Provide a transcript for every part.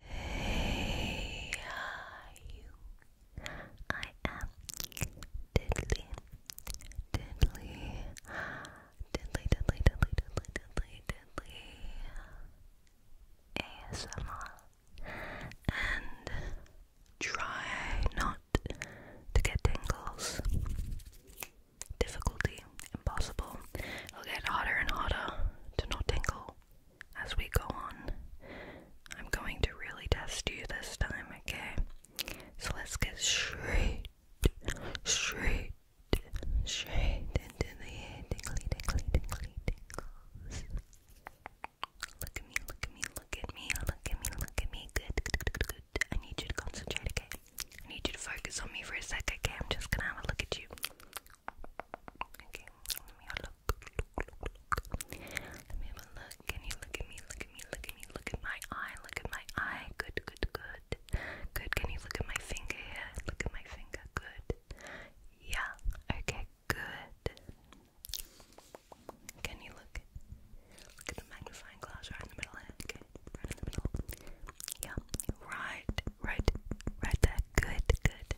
Hey, are you? I am Diddly, Diddly, Diddly, Diddly, Diddly, Diddly, Diddly, Diddly ASMR, and try not to get tingles. Difficulty impossible. It'll get harder and harder to not tingle as we go on. I'm going to really test you this time, okay? So let's get straight, straight, straight into the tingly, tingly, tingly, tingles. Look at me, look at me, look at me, look at me, look at me. Good, good, good, good. good. I need you to concentrate, okay? I need you to focus on me for a sec, okay? I'm just gonna have a look at you. Okay, let me have a look. Let me have a look. Can you look at me? Look at me. Look at me. Look at my eye. Look at my eye. Good, good, good. Good. Can you look at my finger here? Look at my finger. Good. Yeah. Okay. Good. Can you look? Look at the magnifying glass right in the middle here. Okay. Right in the middle. Yeah. Right. Right. Right there. Good. Good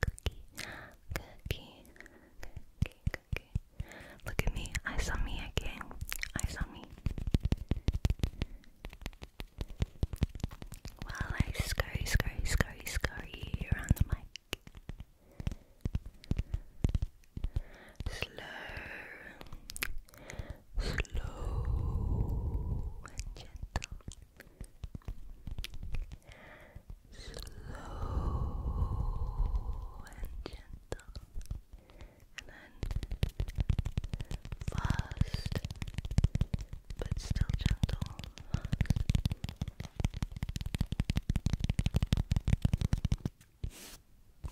Cookie, cookie, cookie, cookie. Look at me. I saw me again. I saw me. While I scurry, scurry, scurry, scurry around the mic. Slow, slow and gentle slow and gentle, and then fast, but still gentle.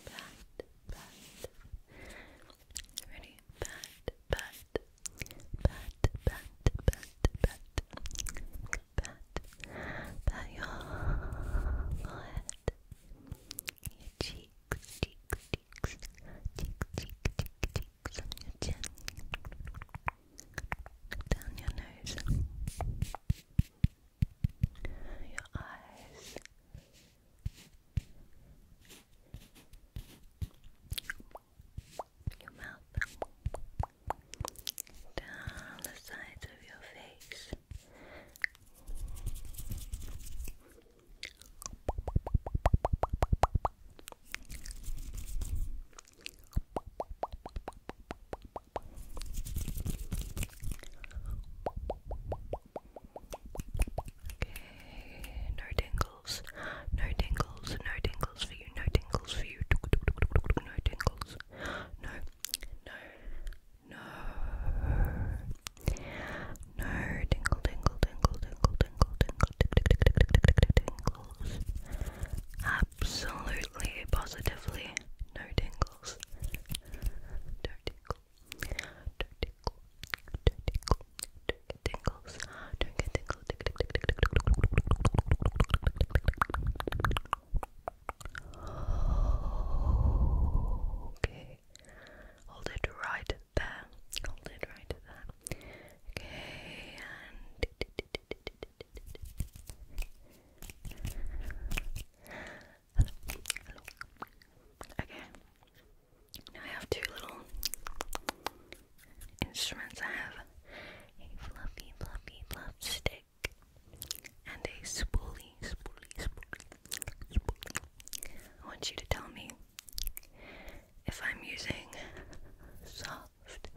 Fast. Pat, Ready? Pat, pat, pat, pat, pat, pat, pat, pat your forehead, cheeks, cheeks, cheeks, cheeks, cheeks, cheeks, cheeks, on your chin, down your nose, your eyes your mouth, down the sides of your face. Okay, no no tingles, no tingles for you, no tingles for you, no tingles, no, no, no, no tingle, tingle, tingle, tingle, tingle, tingle, tingles, absolutely, positively, no tingles, no tingle, no tingle, no tingle, don't get tingles. Don't get tingles. Okay. Hold it right there. Hold it right there. Okay, and hello, hello. Okay. Now I have two little instruments, I have a fluffy, fluffy, fluff stick and a spoolie, spoolie, spoolie. I want you to tell me if I'm using soft,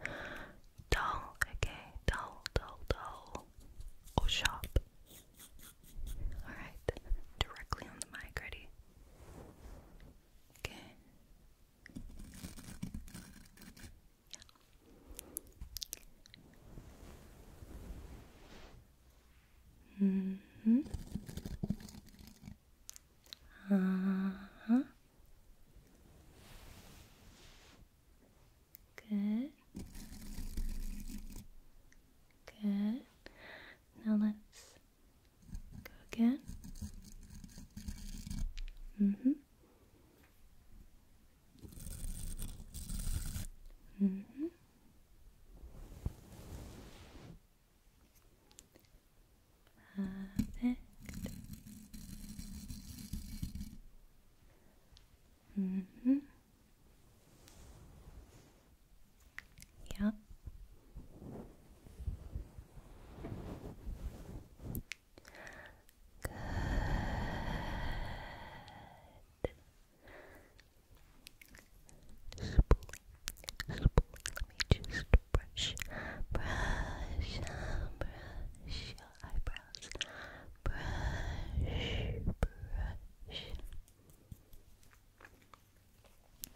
dull, okay, dull, dull, dull, or sharp. Alright, directly on the mic, ready? Okay, hmm. Uh Good. Good. Now let's Go again. hmm hmm Perfect. hmm yeah. Good. Let me just brush, brush, brush your eyebrows. Brush, brush. Round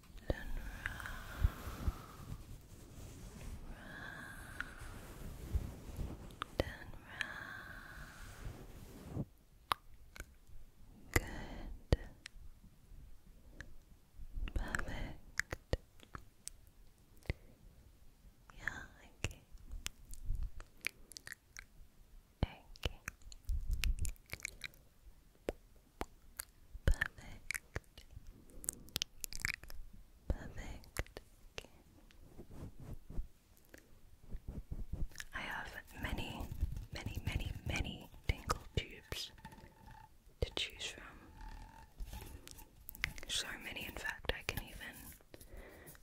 and round, round and round. Good. Perfect. Yeah, okay. Okay. Perfect. Perfect. I have many, many, many, many tingle tubes to choose from. So many, in fact, I can even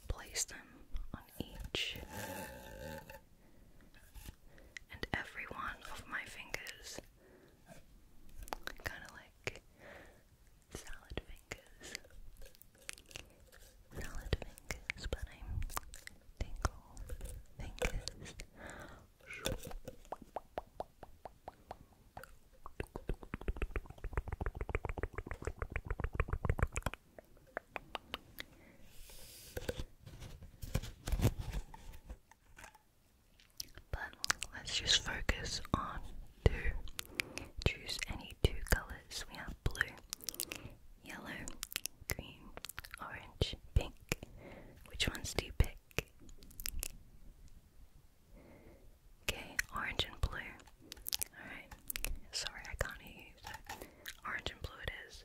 place them on each and every one of my fingers Kind of like salad fingers. Salad fingers, but I'm tingle fingers. But let's just focus on two. Choose any two colors. We have blue, yellow, green, orange, pink. Which ones do you pick? Okay, orange and blue. Alright. Sorry, I can't hear you. orange and blue it is.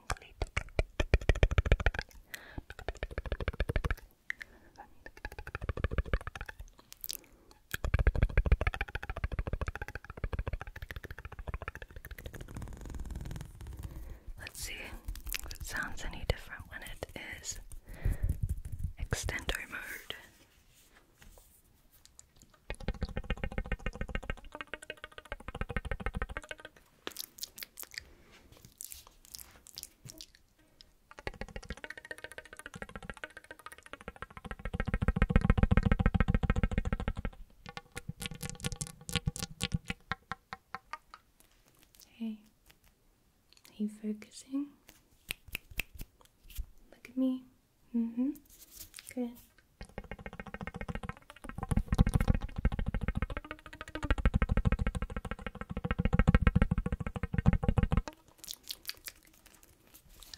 Let's see if it sounds any different when it is extender mode. Hey, are you focusing? Look at me. Mm hmm. Good.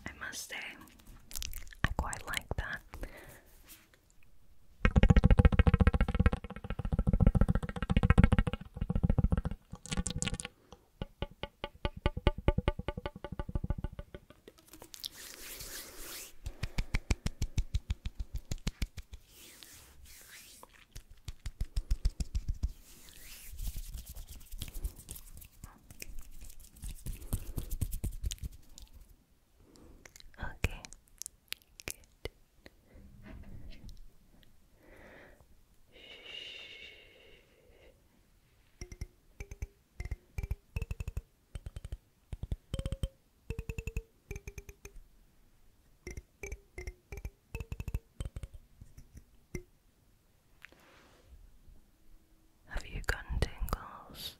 I must say, I quite like that. Okay. Good. Shh. Have you gotten tingles?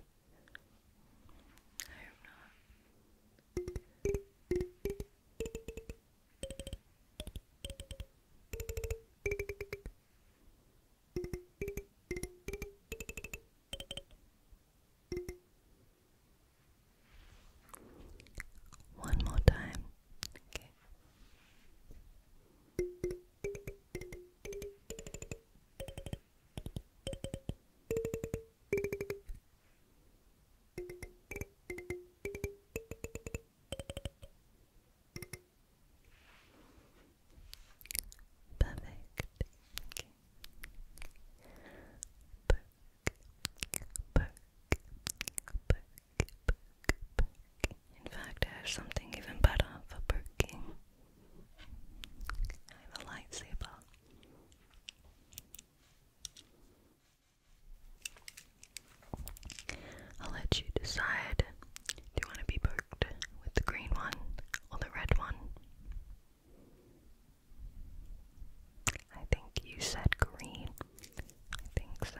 I hope not. One more time. Okay. Perfect. In fact, I have something even better for perking. I have a lightsaber. I'll let you decide. Do you want to be poked with the green one or the red one? I think you said green. I think so.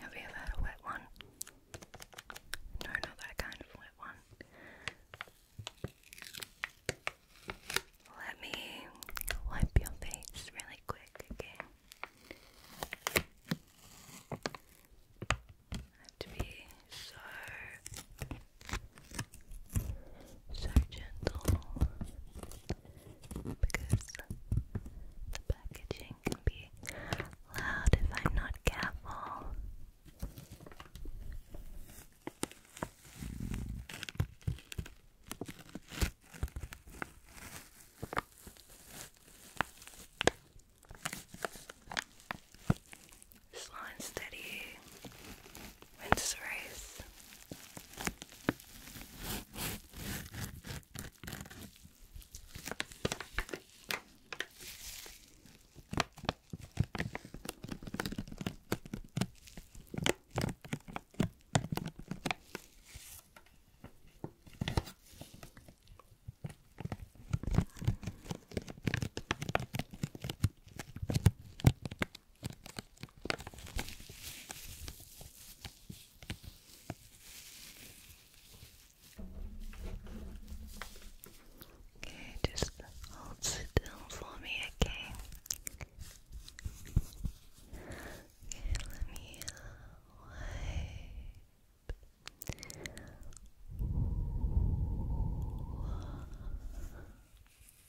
Have you ever had a wet one? No, not that kind of wet one. Let me wipe your face really quick, okay? to be so so gentle because the packaging can be loud if I'm not careful. Slow and steady wins the race. Okay, just hold still for me, okay? let me wipe.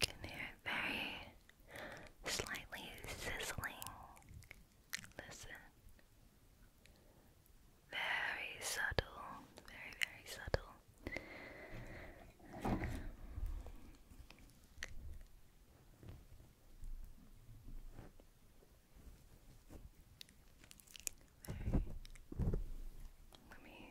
You hear it slightly sizzling. Listen. Very subtle, very, very subtle. Let me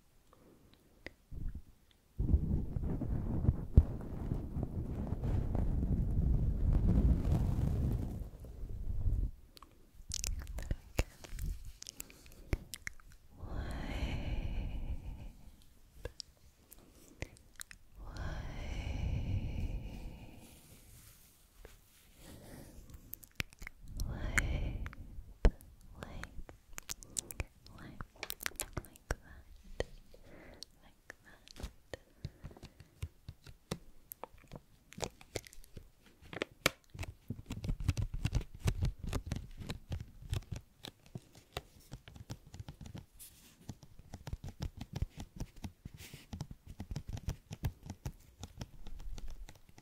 Wide, wipe, wipe, wipe, like that, like that.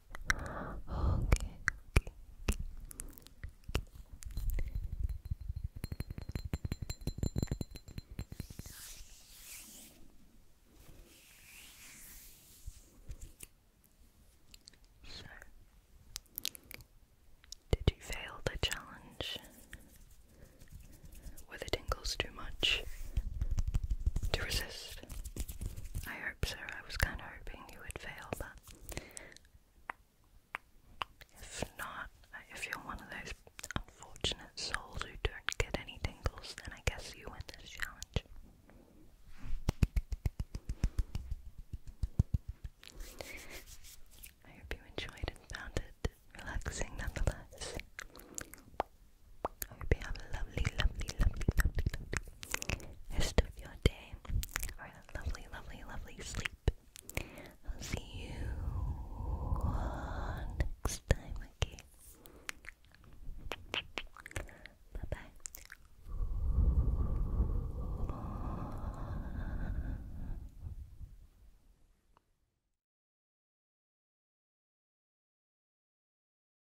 okay, So, did you fail the challenge? Were the tingles too much to resist? I hope so. I was kind of hoping you would fail, but if not, if you're one of those unfortunate souls who don't get any tingles, then I guess you win this challenge. I hope you enjoyed and found it relaxing nonetheless. I hope you have a lovely, lovely, lovely, lovely, rest of your day lovely, lovely, lovely sleep. I'll see you next time, okay? Bye bye.